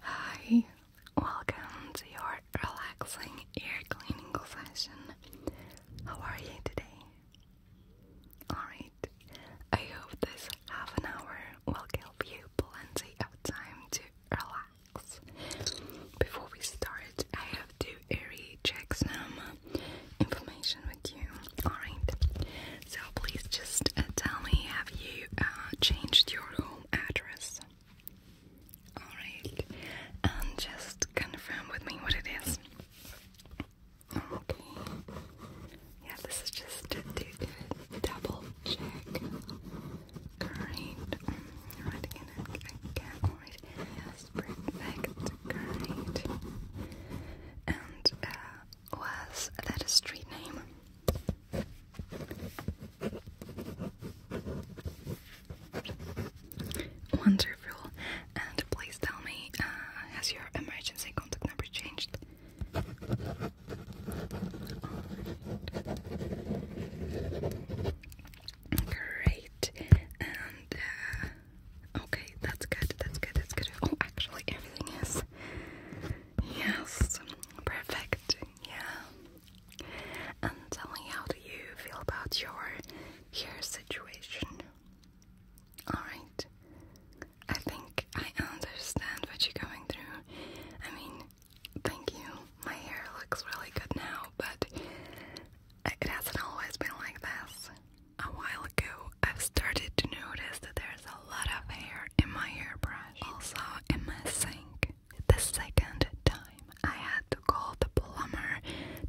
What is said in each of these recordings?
Hi, welcome to your relaxing ear cleaning session. How are you today? Alright, I hope this half an hour will give you plenty of time to relax. Before we start, I have to re some information with you. Alright, so please just uh, tell me have you uh, changed your home address? Alright, and just confirm with me what it is. Okay. Yeah, this is just to do a double check. Great. Right again, again. Yes, perfect. Great. And uh, was that a street name? Wonderful. And please tell me, uh, has your emergency contact number changed? Great. And uh, okay, that's good. That's good. That's good. Oh, actually, everything is. Yes, perfect. Yeah. And tell me how do you feel about your hair situation? Alright. I think I understand what you're going through. I mean, thank you. My hair looks really good now, but it hasn't always been like this. A while ago, I've started to notice that there's a lot of hair in my hairbrush, also in my sink. The second time, I had to call the plumber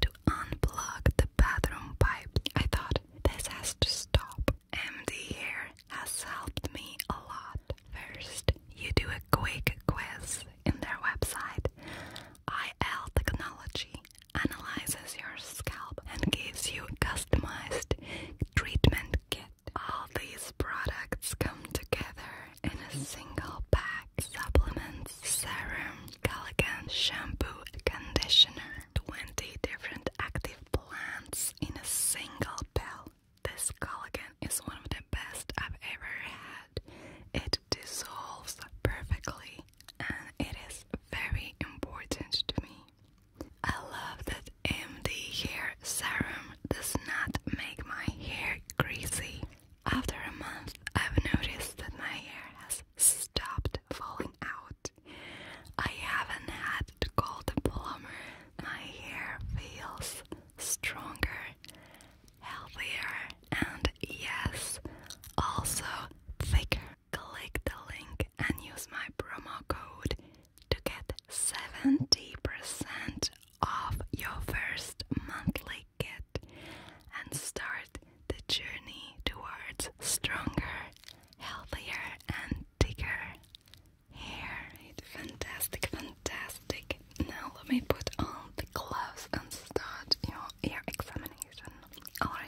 to unplug the bathroom pipe. I thought, this has to stop. MD here has helped me a lot. First, you do a quick quiz in their website. IL Technology analyzes your scalp and gives you customized treatment and All these products come together in a single pack. Supplements, serum, collagen, shampoo, conditioner, 20 different active plants in a single pill. This collagen is one of the best I've ever had. It dissolves perfectly and it is very important to me. I love that MD hair serum does not make my hair greasy. After a month, I've noticed that my hair has stopped falling out. I haven't had to call the plumber. My hair feels stronger, healthier, and yes, also thicker. Click the link and use my promo code to get 70% off your first monthly kit and start the journey towards stronger, healthier, and thicker hair. Right, fantastic, fantastic. Now let me put on the gloves and start your ear examination. Alright.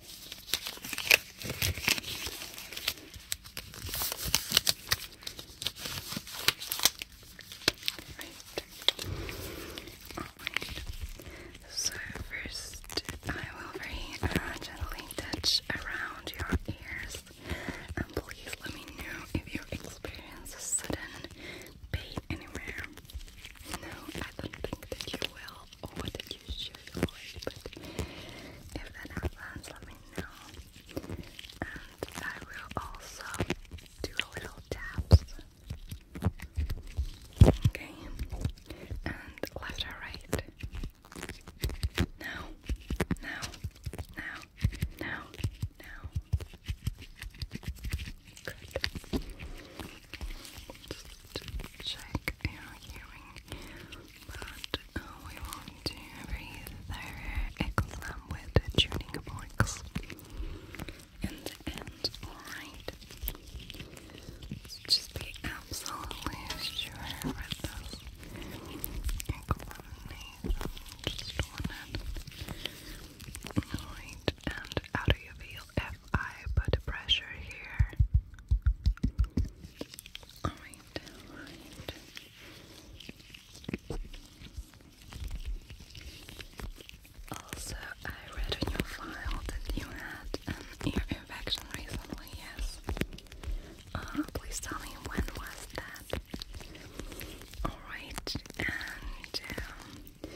All right. So first, I will very gently touch around your ears, and um, please let me know if you experience sudden pain anywhere. No, I don't think that you will what did you should already, but if that happens, let me know. And I will also do a little taps. Okay, and left or right. Now, now, now, now, now. Good just check your hearing, but uh, we won't do a very with tuning box in the end, alright? just be absolutely sure with this examination, just one end. Alright, and how you feel if I put pressure here. Also, I read in your file that you had an um, ear infection recently, yes? Uh, please tell me when was that? Alright, and um,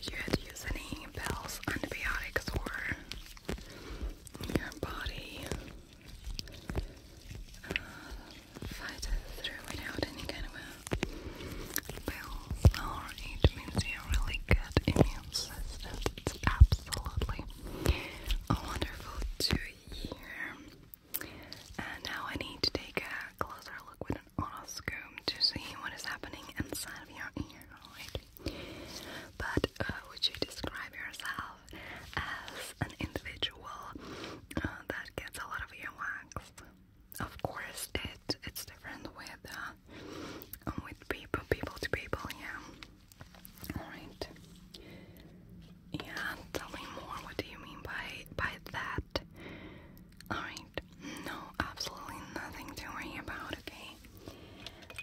you had to use any pills, antibiotics, or your body uh, fights through without any kind of uh, pills, or it means you really good immune system. It's absolutely wonderful to hear. And now I need to take a closer look with an otoscope to see what is happening inside of your ear, but uh, would you describe yourself as an individual uh, that gets a lot of earwax? Of course, it it's different with uh, um, with people, people to people, yeah. All right. Yeah, tell me more. What do you mean by by that? All right. No, absolutely nothing to worry about, okay?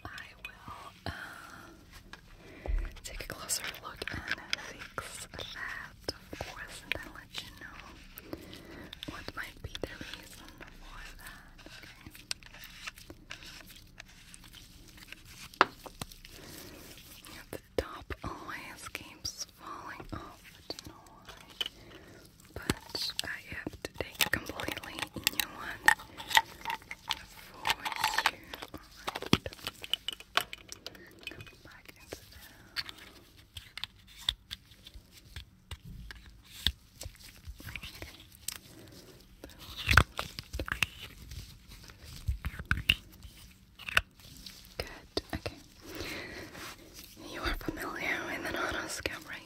I will uh, take a closer look and fix that, of course, and let you know what might be the reason for that, The top always keeps falling off, don't know why but I have to take a completely new one for you. Okay. Good, okay. You are familiar with an auto scam, right?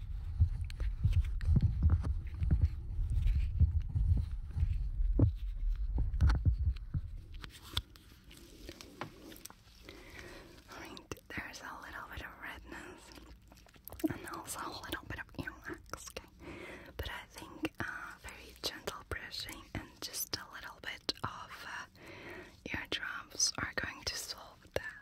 I there's a little bit of redness and also a little bit of earwax, okay? But I think uh, very gentle brushing and just a little bit of uh, ear drops are going to solve that.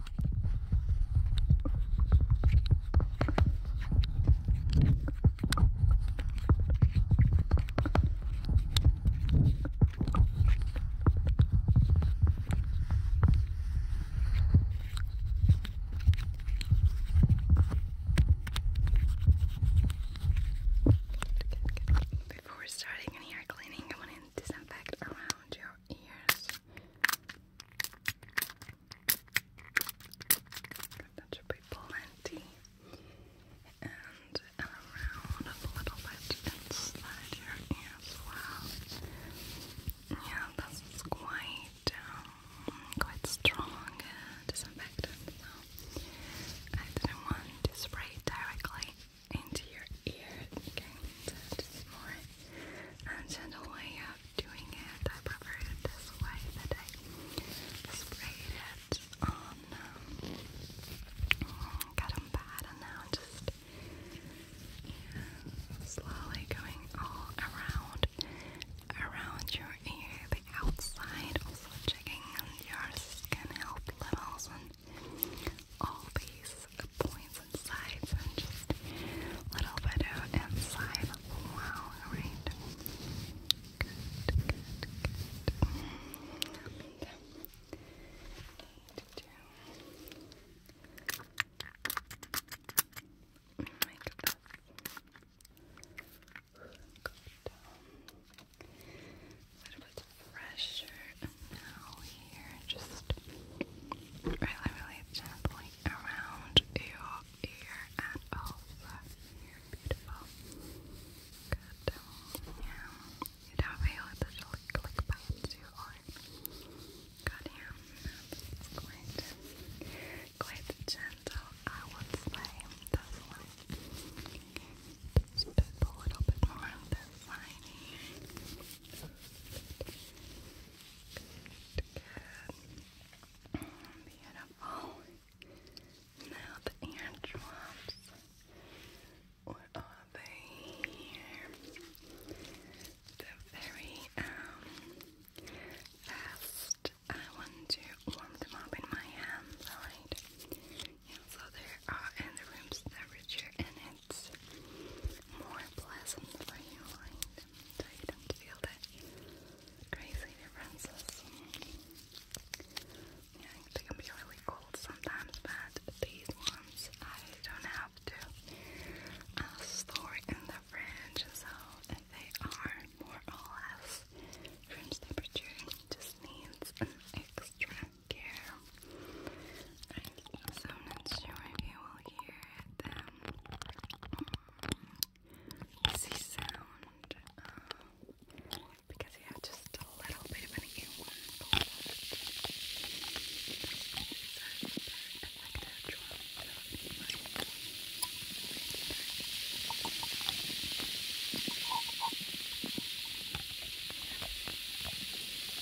Before starting any cleaning, I want to disinfect around your ears. That should be plenty. And around a little bit inside your ear as well. Yeah, this quite, um, quite strong uh, disinfectant, so I didn't want to spray directly into your ear. Okay, just more uh, gentle way of doing it, I prefer it this way that sprayed it on, um, got them bad, and now just slowly going all around, around your ear, the outside, also checking on your skin health levels and all these points sides and just a little bit out and side right? make this A little bit pressure now here, just really, really gently around your ear and over here. Beautiful. Good. Yeah. You don't feel it that it'll click, click bites you or Good, yeah. That's quite, quite gentle, I would say. This one. Just a little bit more on this side Good. Beautiful. Now the eardrops. Where are they? They're very um fast. I want to warm them up in my hands, alright? so there are in the rooms temperature and it's more pleasant for you, right? so don't feel that crazy differences. Yeah, they can be really cold sometimes, but these ones I don't have to store in the fridge, so they are more or less room temperature. Just needs extra care. So I'm not sure if you will hear them. Easy sound. Uh, because you have just a little bit of an earworm cold.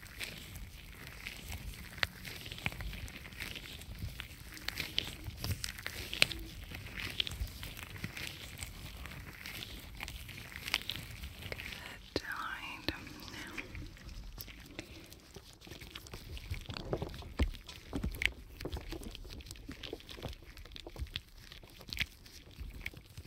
Good, all right. Now.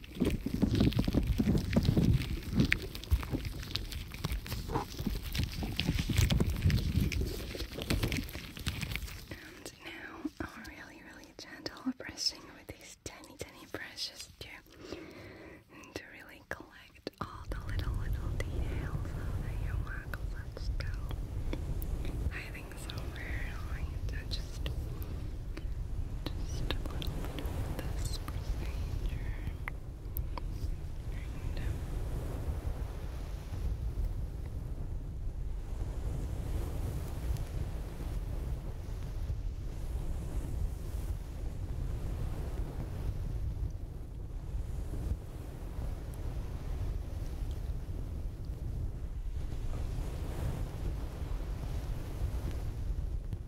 And now i really, really gentle brushing with these tiny, tiny brushes too. to really collect all the little, little details of the yomako let's go. I think somewhere like to just just a little bit of this And,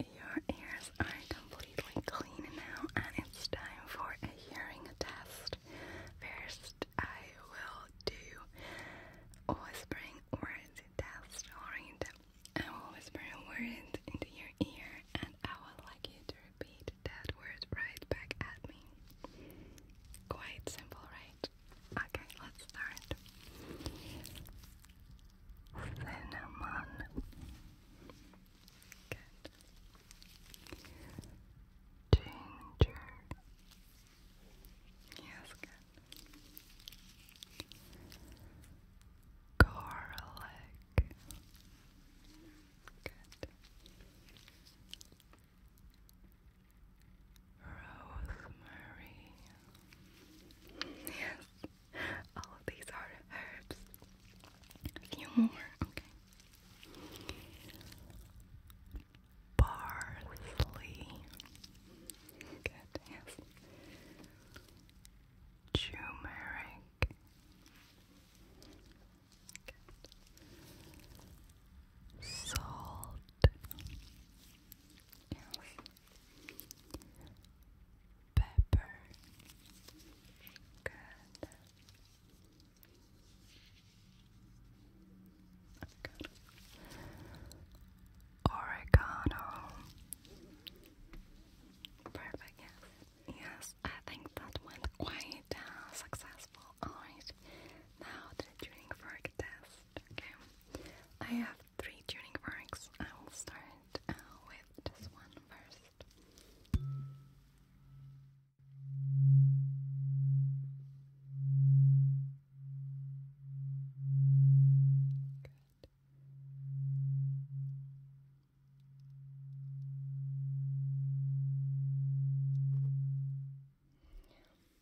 Your ears are completely clean now, and it's time for a hearing test. First, I will do a whispering words test, I will whisper a word into your ear, and I would like you to repeat that word right back at me. Quite simple, right? Okay, let's start. Cinnamon. Good. Ginger. Yes, good. Garlic. Good rosemary. Yes, all of these are herbs. A few more, okay. Parsley. Good, yes. Turmeric. Salt else pepper good good oregano perfect yes yes I think that went quite uh, successful alright now the drink for this Okay, I have three tuning forks. I will start uh, with this one first. Good.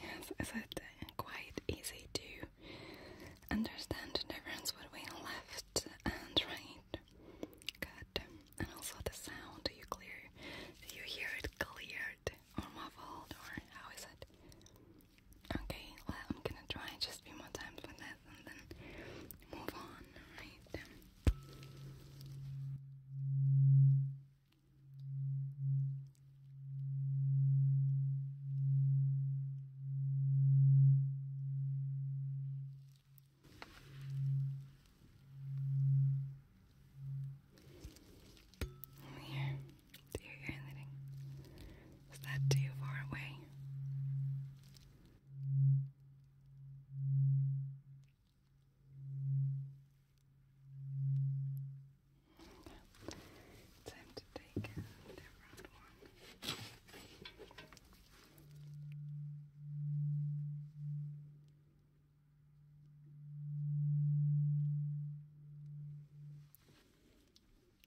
Yes, is quite easy to understand the difference between left and right? Good. And also the sound, you clear? Do you hear it cleared or muffled or how is it? Okay, well I'm gonna try just few more times with process and move on, right? Here, to your ear, Is that too far away? Time to take uh, the round one.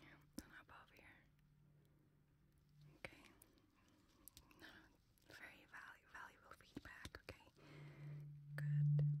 Yeah, then above here. Okay. No, very valu valuable feedback. Okay. Good.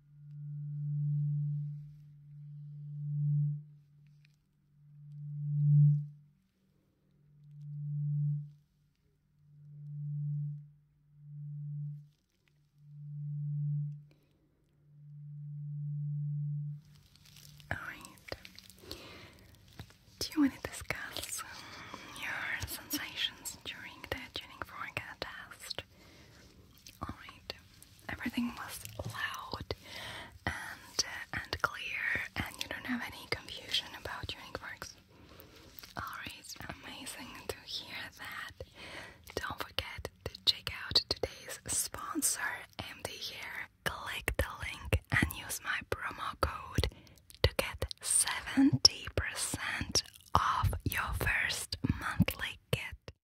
Alright. Do you want to discuss your sensations during the tuning fork test? Alright, everything was loud and uh, and clear, and you don't have any confusion about your works. Alright, amazing to hear that. Don't forget to check out today's sponsor, MD here. Click the link and use my promo code to get 70% off your first monthly kit.